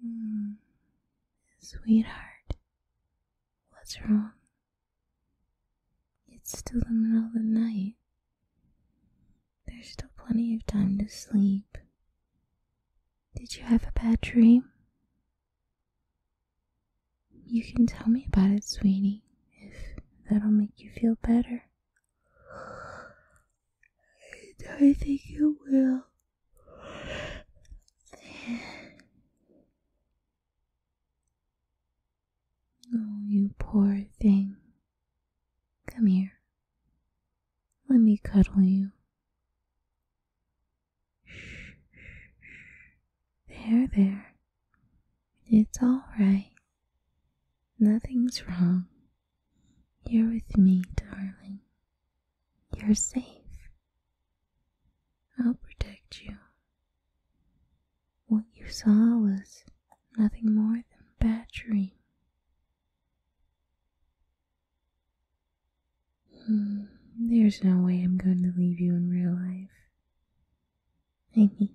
Hmm. sweetheart, what's wrong? It's still the middle of the night. There's still plenty of time to sleep. Did you have a bad dream? You can tell me about it, sweetie, if that'll make you feel better. I think you will. Oh, you poor thing. Come here. Let me cuddle you. There, there. It's all right. Nothing's wrong. You're with me, darling. You're safe. I'll protect you. What you saw was nothing more than a bad dream. Hmm, there's no way I'm going to leave you in real life. Maybe.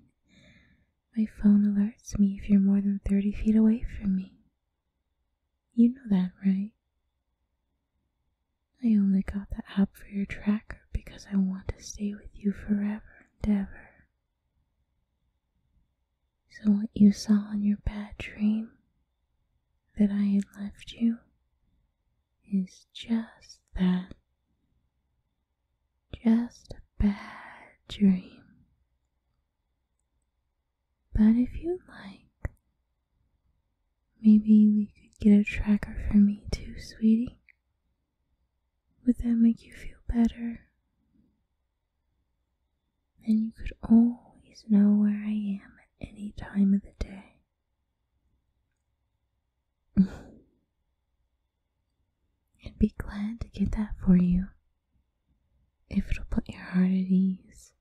My phone alerts me if you're more than 30 feet away from me. You know that, right? I only got the app for your tracker because I want to stay with you forever and ever. So, what you saw in your bad dream that I had left you is just that. Just a bad dream. But if you like, maybe we could get a tracker for me too, sweetie. Would that make you feel better? Then you could always know where I am at any time of the day. I'd be glad to get that for you if it'll put your heart at ease.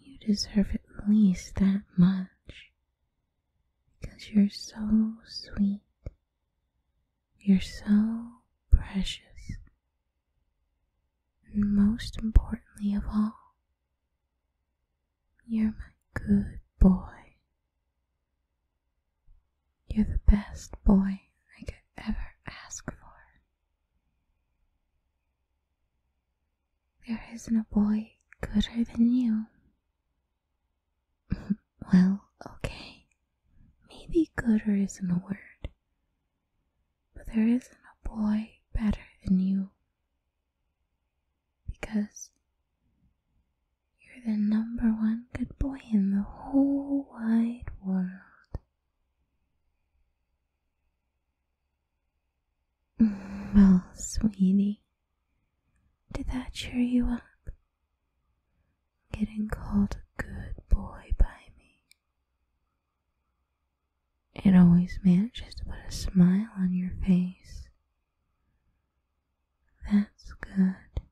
You deserve at least that much because you're so sweet. You're so precious. And most importantly of all, you're my good boy. You're the best boy I could ever ask for. There isn't a boy gooder than you. well, okay. Maybe gooder isn't a word. But there isn't a boy better than you. Because you're the number one good boy in the whole wide world. Mm, well, sweetie, did that cheer you up? Getting called a good boy by me. It always manages to put a smile on your face. That's good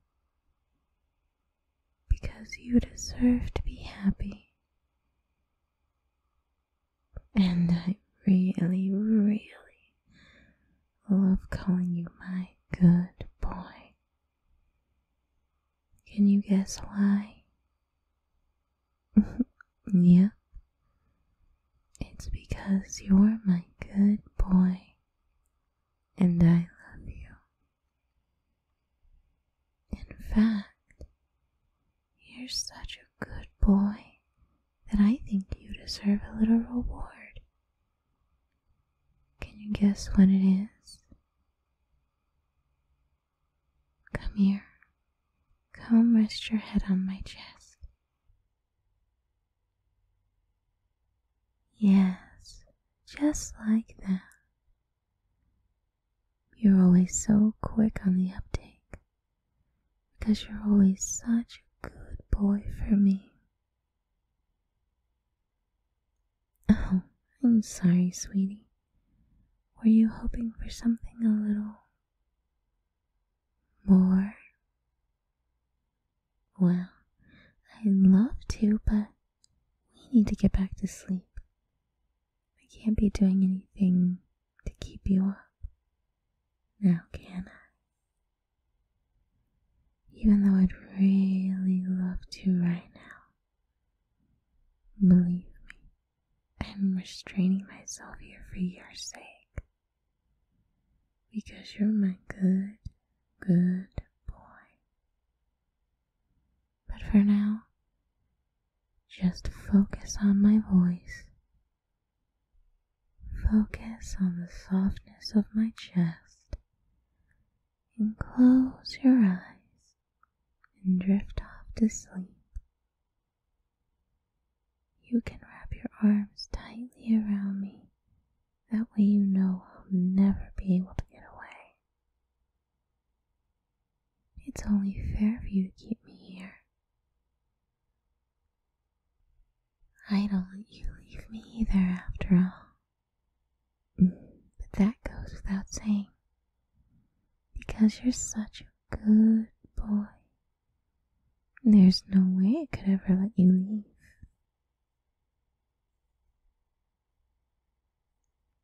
because you deserve to be happy. And I really, really love calling you my good boy. Can you guess why? yeah. It's because you're my good boy and I love you. In fact, you're such a good boy that I think you deserve a little reward. Can you guess what it is? Come here. Come rest your head on my chest. Yes, just like that. You're always so quick on the uptake because you're always such a good boy for me. Oh, I'm sorry, sweetie. Were you hoping for something a little more? Well, I'd love to, but we need to get back to sleep. I can't be doing anything to keep you up. Now, can I? Even though I'd really love to right now. Believe me, I'm restraining myself here for your sake. Because you're my good, good boy. But for now, just focus on my voice. Focus on the softness of my chest and close your eyes and drift off to sleep. You can wrap your arms tightly around me. That way you know I'll never be able to get away. It's only fair for you to keep me here. I don't want you to leave me either, after all. but that goes without saying. Because you're such a good boy. There's no way I could ever let you leave.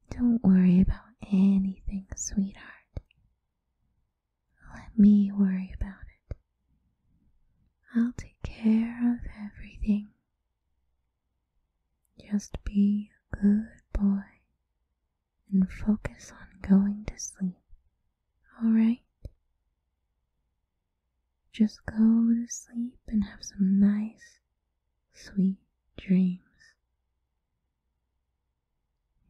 Don't worry about anything, sweetheart. Let me worry about it. I'll take care of everything. Just be a good boy and focus on going to sleep, alright? Just go to sleep and have some nice, sweet dreams.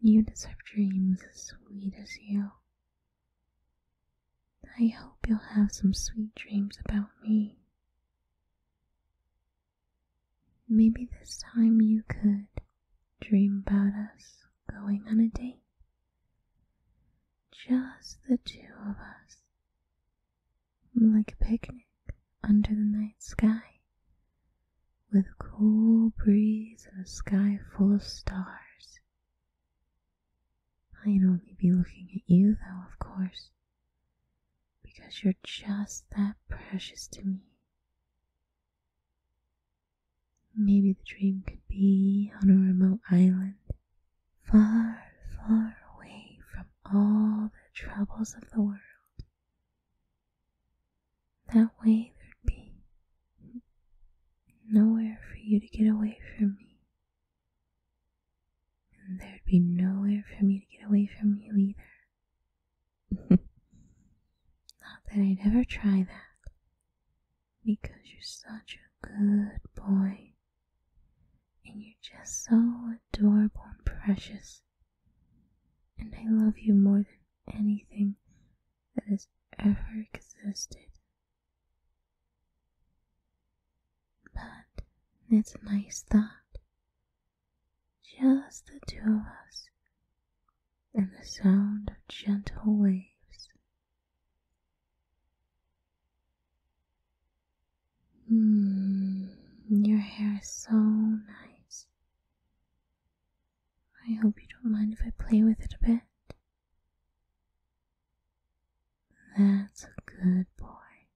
You deserve dreams as sweet as you. I hope you'll have some sweet dreams about me. Maybe this time you could dream about us going on a date. Just the two of us like a picnic under the night sky, with a cool breeze and a sky full of stars. I'd only be looking at you, though, of course, because you're just that precious to me. Maybe the dream could be on a remote island, far, far away from all the troubles of the world. That way there'd be nowhere for you to get away from me. And there'd be nowhere for me to get away from you either. Not that I'd ever try that. Because you're such a good boy. And you're just so adorable and precious. And I love you more than anything that has ever existed. But it's a nice thought. Just the two of us, and the sound of gentle waves. Mm, your hair is so nice. I hope you don't mind if I play with it a bit. That's a good boy.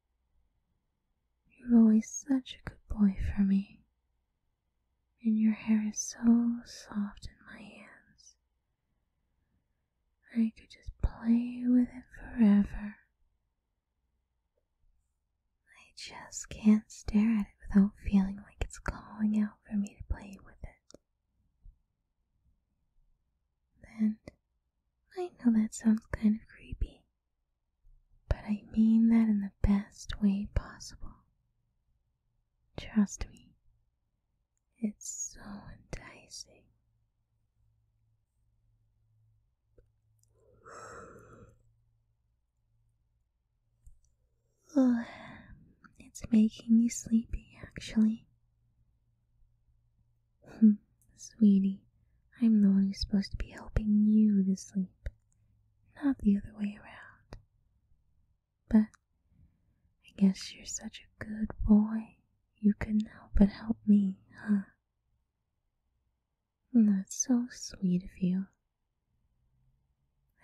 You're always such a good boy for me. And your hair is so soft in my hands. I could just play with it forever. I just can't stare at it without feeling like it's calling out for me to play with it. And I know that sounds kind of creepy, but I mean that in the best way possible. Trust me, it's so enticing. Oh, it's making me sleepy, actually. Hmm, sweetie, I'm the one who's supposed to be helping you to sleep, not the other way around. But I guess you're such a good boy, you couldn't help but help me, huh? Mm, that's so sweet of you.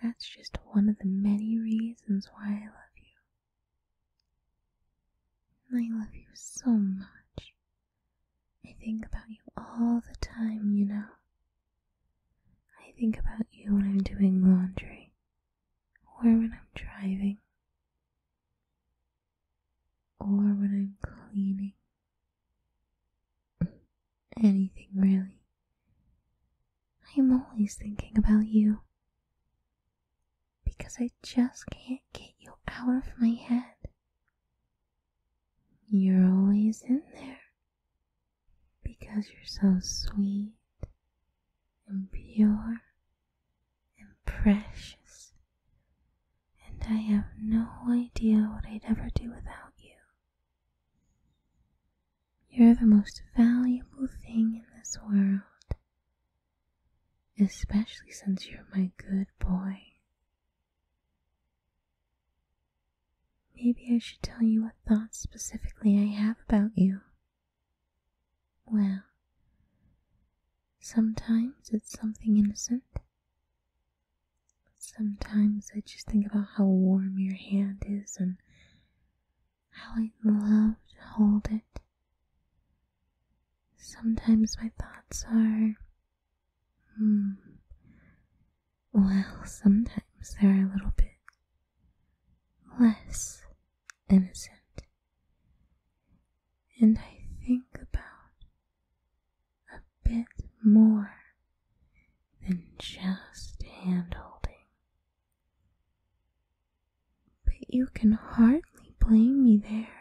That's just one of the many reasons why I love you. I love you so much. I think about you all the time, you know. I think about you when I'm doing laundry or when I'm driving or when I'm cleaning anything really. I am always thinking about you. Because I just can't get you out of my head. You're always in there. Because you're so sweet and pure and precious and I have no idea what I'd ever do without you. You're the most valuable thing in this world, especially since you're my good boy. Maybe I should tell you what thoughts specifically I have about you. Well, sometimes it's something innocent, Sometimes I just think about how warm your hand is and how I'd love to hold it. Sometimes my thoughts are, hmm, well, sometimes they're a little bit less innocent. And I think about a bit more than just hand holding. But you can hardly blame me there.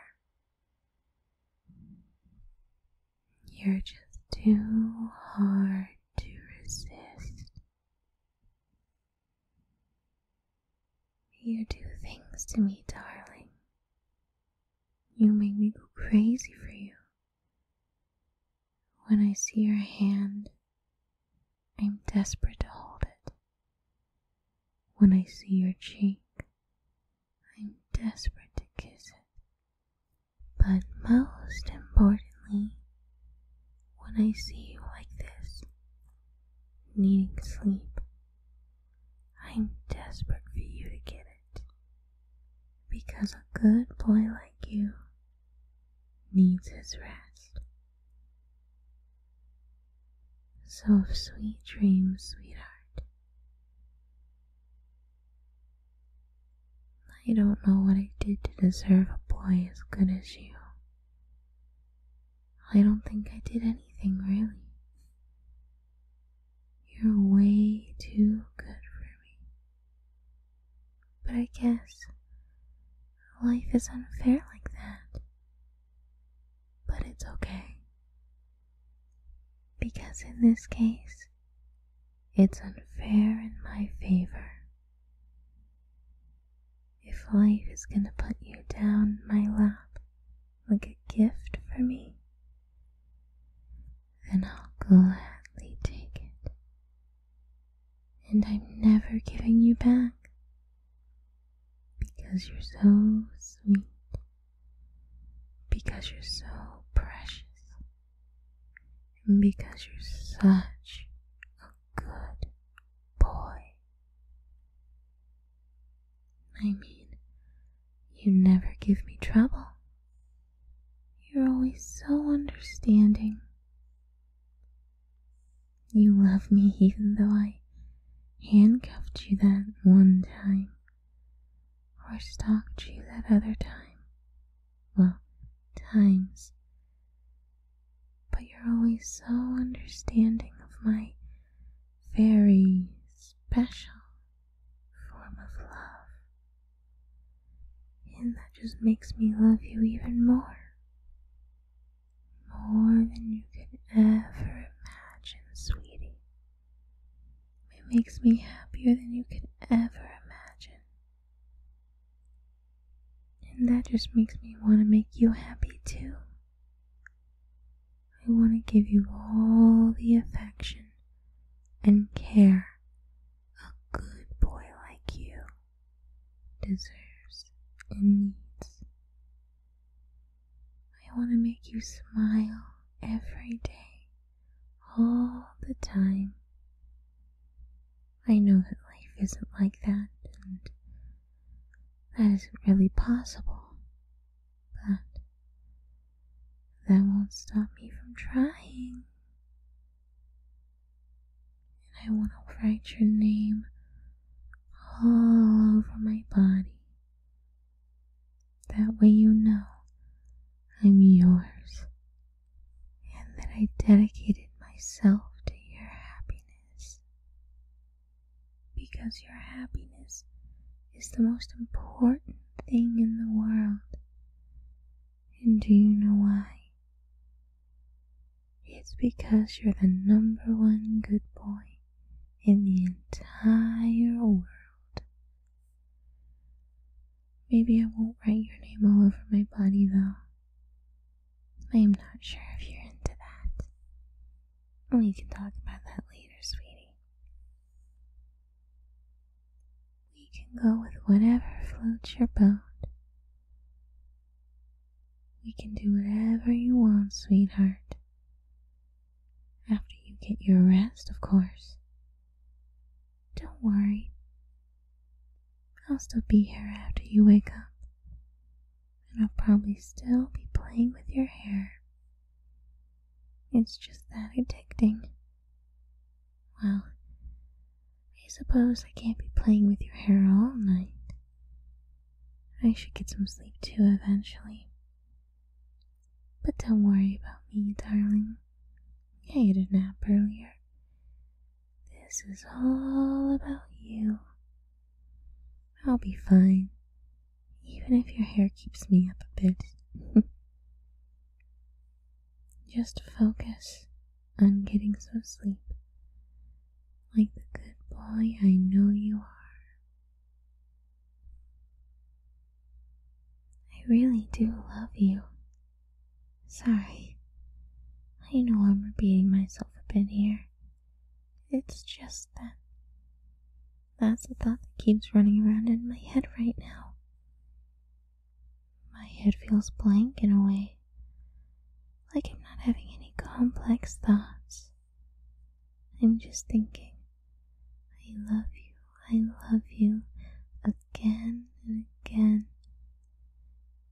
You're just too hard to resist. You do things to me, darling. You make me go crazy for you. When I see your hand, I'm desperate to hold it. When I see your cheek, I'm desperate to kiss it. But most importantly, when I see you like this, needing sleep, I'm desperate for you to get it because a good boy like you needs his rest. So sweet dreams, sweetheart. I don't know what I did to deserve a boy as good as you. I don't think I did anything really. You're way too good for me. But I guess life is unfair like that. But it's okay. Because in this case, it's unfair in my favor. If life is gonna put you down my lap like a gift for me, and I'll gladly take it. And I'm never giving you back because you're so sweet, because you're so precious, because you're such a good boy. I mean, you never give me trouble. You're always so understanding. You love me even though I handcuffed you that one time, or stalked you that other time. Well, times. But you're always so understanding of my very special form of love. And that just makes me love you even more. More than you can ever imagine, sweetie. It makes me happier than you can ever imagine. And that just makes me want to make you happy too. I want to give you all the affection and care a good boy like you deserves and needs. I want to make you smile every day, all the time. I know that life isn't like that, and that isn't really possible, but that won't stop me from trying. And I want to write your name all over my body. That way you know I'm yours and that I dedicated myself to your happiness. Because your happiness is the most important thing in the world and do you know why? It's because you're the number one good boy in the entire world. Maybe I won't write your name all over my body, though. I am not sure if you're into that. We can talk about that later, sweetie. We can go with whatever floats your boat. We can do whatever you want, sweetheart. After you get your rest, of course. Don't worry. I'll still be here after you wake up. And I'll probably still be playing with your hair. It's just that addicting. Well, I suppose I can't be playing with your hair all night. I should get some sleep too eventually. But don't worry about me, darling. I had a nap earlier. This is all about you. I'll be fine, even if your hair keeps me up a bit. Just focus on getting some sleep, like the good boy I know you are. I really do love you. Sorry, I know I'm repeating myself a bit here. It's just that. That's the thought that keeps running around in my head right now. My head feels blank in a way, like I'm not having any complex thoughts. I'm just thinking, I love you, I love you, again and again,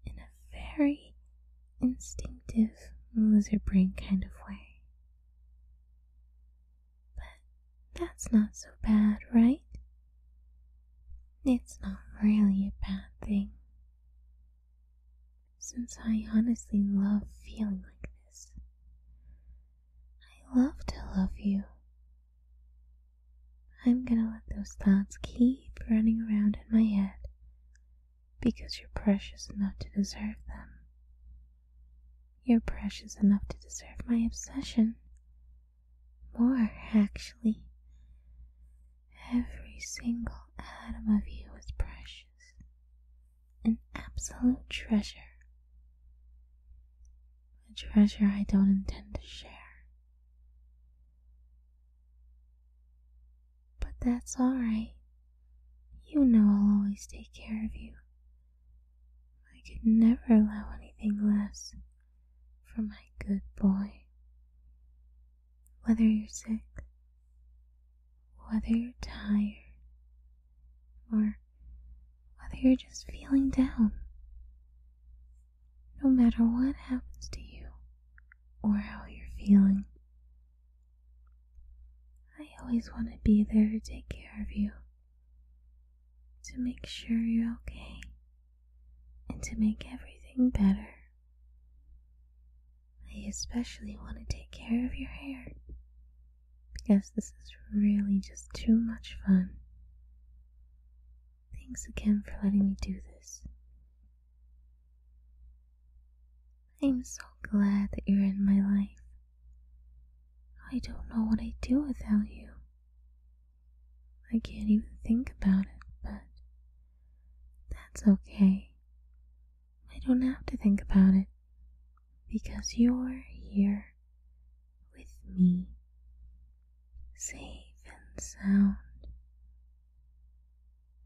in a very instinctive lizard brain kind of way. But that's not so bad, right? It's not really a bad thing. Since I honestly love feeling like this, I love to love you. I'm gonna let those thoughts keep running around in my head because you're precious enough to deserve them. You're precious enough to deserve my obsession more, actually. Every single atom of you is precious, an absolute treasure. A treasure I don't intend to share. But that's alright. You know I'll always take care of you. I could never allow anything less for my good boy. Whether you're sick, whether you're tired, or whether you're just feeling down, no matter what happens to you or how you're feeling, I always want to be there to take care of you to make sure you're okay and to make everything better. I especially want to take care of your hair because this is really just too much fun. Thanks again for letting me do this. I'm so glad that you're in my life. I don't know what I'd do without you. I can't even think about it, but that's okay. I don't have to think about it because you're here with me, safe and sound,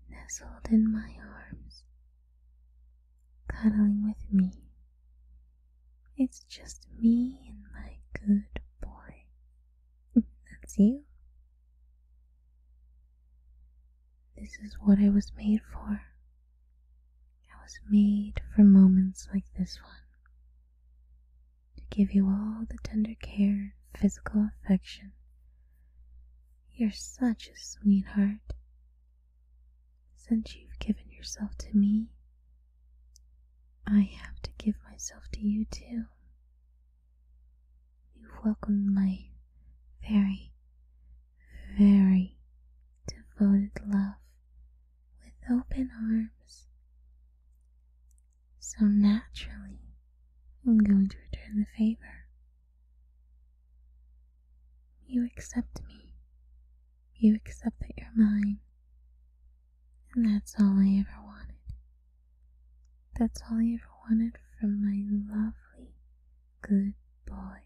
nestled in my arms, cuddling with me. It's just me and my good boy. That's you. This is what I was made for. I was made for moments like this one. To give you all the tender care and physical affection. You're such a sweetheart. Since you've given yourself to me, I have to give myself to you too. You've welcomed my very, very devoted love with open arms. So naturally, I'm going to return the favor. You accept me. You accept that you're mine. And that's all I ever wanted. That's all I ever wanted from my lovely, good boy.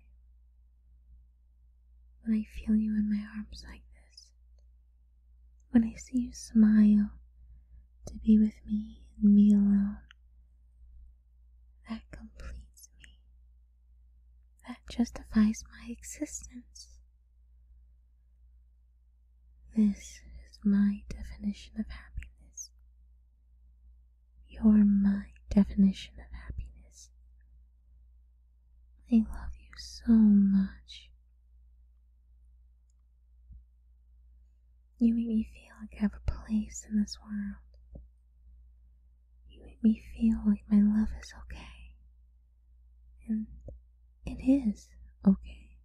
When I feel you in my arms like this, when I see you smile to be with me and me alone, that completes me. That justifies my existence. This is my definition of happiness. You're my definition of happiness. I love you so much. You make me feel like I have a place in this world. You make me feel like my love is okay. And it is okay.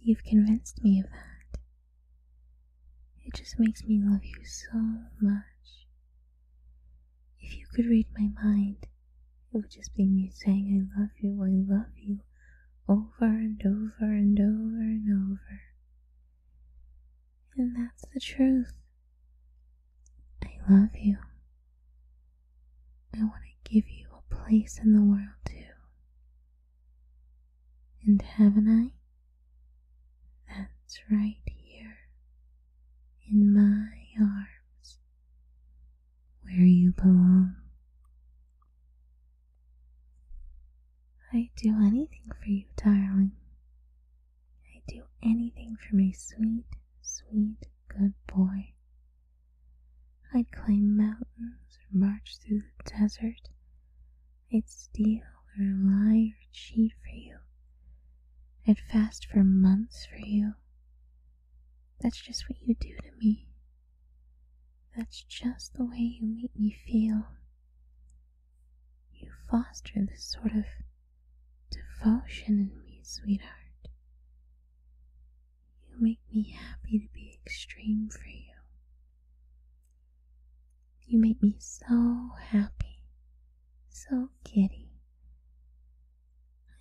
You've convinced me of that. It just makes me love you so much. If you could read my mind, it would just be me saying, I love you, I love you, over and over and over and over. And that's the truth. I love you. I want to give you a place in the world too. And haven't I? That's right here, in my arms, where you belong. I'd do anything for you, darling. I'd do anything for my sweet, sweet, good boy. I'd climb mountains or march through the desert. I'd steal or lie or cheat for you. I'd fast for months for you. That's just what you do to me. That's just the way you make me feel. You foster this sort of devotion in me, sweetheart. You make me happy to be extreme for you. You make me so happy, so giddy.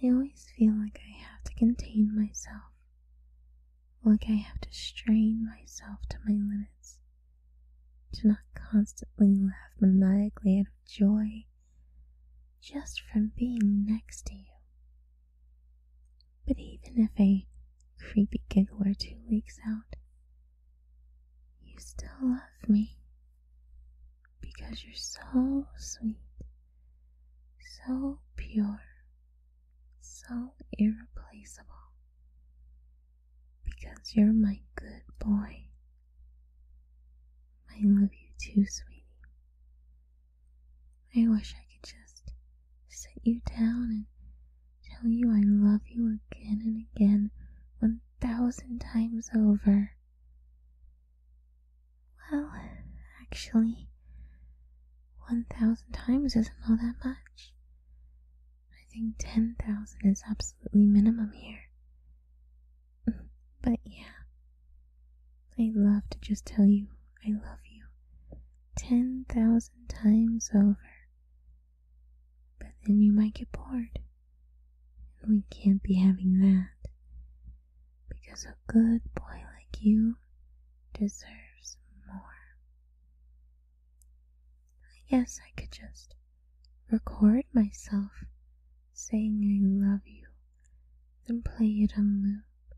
I always feel like I have to contain myself, like I have to strain myself to my limits, to not constantly laugh maniacally out of joy just from being next to you. But even if a creepy giggle or two leaks out, you still love me because you're so sweet, so pure, so irreplaceable. Because you're my good boy. I love you too, sweetie. I wish I could just sit you down and tell you I love you again and again, one thousand times over. Well, actually, one thousand times isn't all that much. I think ten thousand is absolutely minimum here. But yeah, I'd love to just tell you I love you 10,000 times over. But then you might get bored. And we can't be having that. Because a good boy like you deserves more. I guess I could just record myself saying I love you and play it on loop.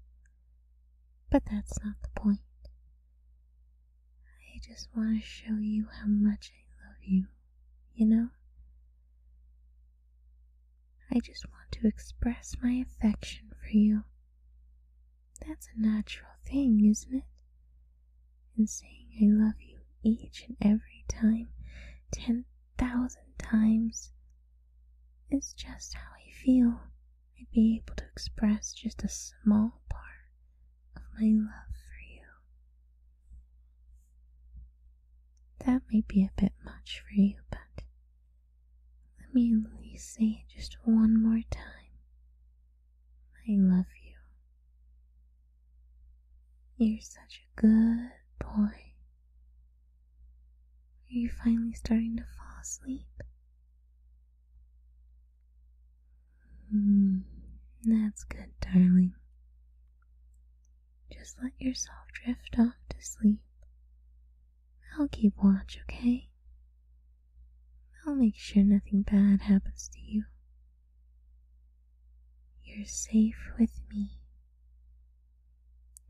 But that's not the point. I just want to show you how much I love you, you know? I just want to express my affection for you. That's a natural thing, isn't it? And saying I love you each and every time, 10,000 times, is just how I feel. I'd be able to express just a small part of my love for you. That may be a bit much for you, but let me at least say it just one more time. I love you. You're such a good boy. Are you finally starting to fall asleep? Hmm, that's good, darling. Just let yourself drift off to sleep. I'll keep watch, okay? I'll make sure nothing bad happens to you. You're safe with me.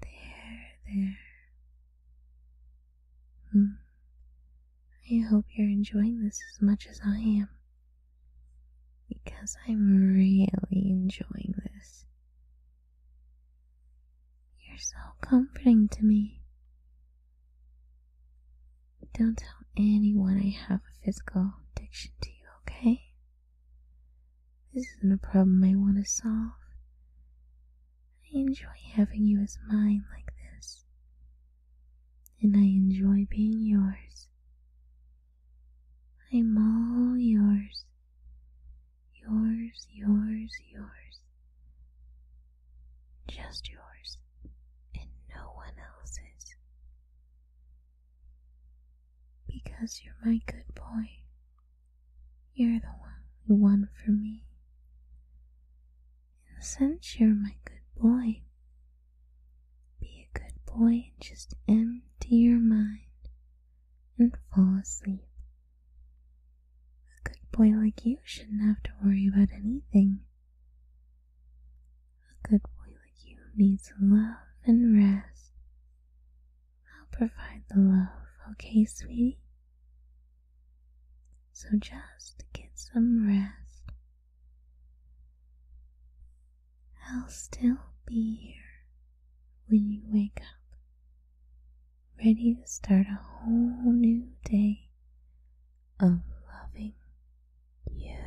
There, there. Hmm. I hope you're enjoying this as much as I am. Because I'm really enjoying this. You're so comforting to me. Don't tell anyone I have a physical addiction to you, okay? This isn't a problem I want to solve. I enjoy having you as mine like this, and I enjoy being yours. I'm all yours, yours, yours, yours, just yours, and no one else's. Because you're my good boy, you're the one, only one for me. And since you're my good boy, be a good boy and just empty your mind and fall asleep. A good boy like you shouldn't have to worry about anything. A good boy like you needs love and rest. I'll provide the love, okay, sweetie? So just get some rest. I'll still be here when you wake up, ready to start a whole new day of loving you.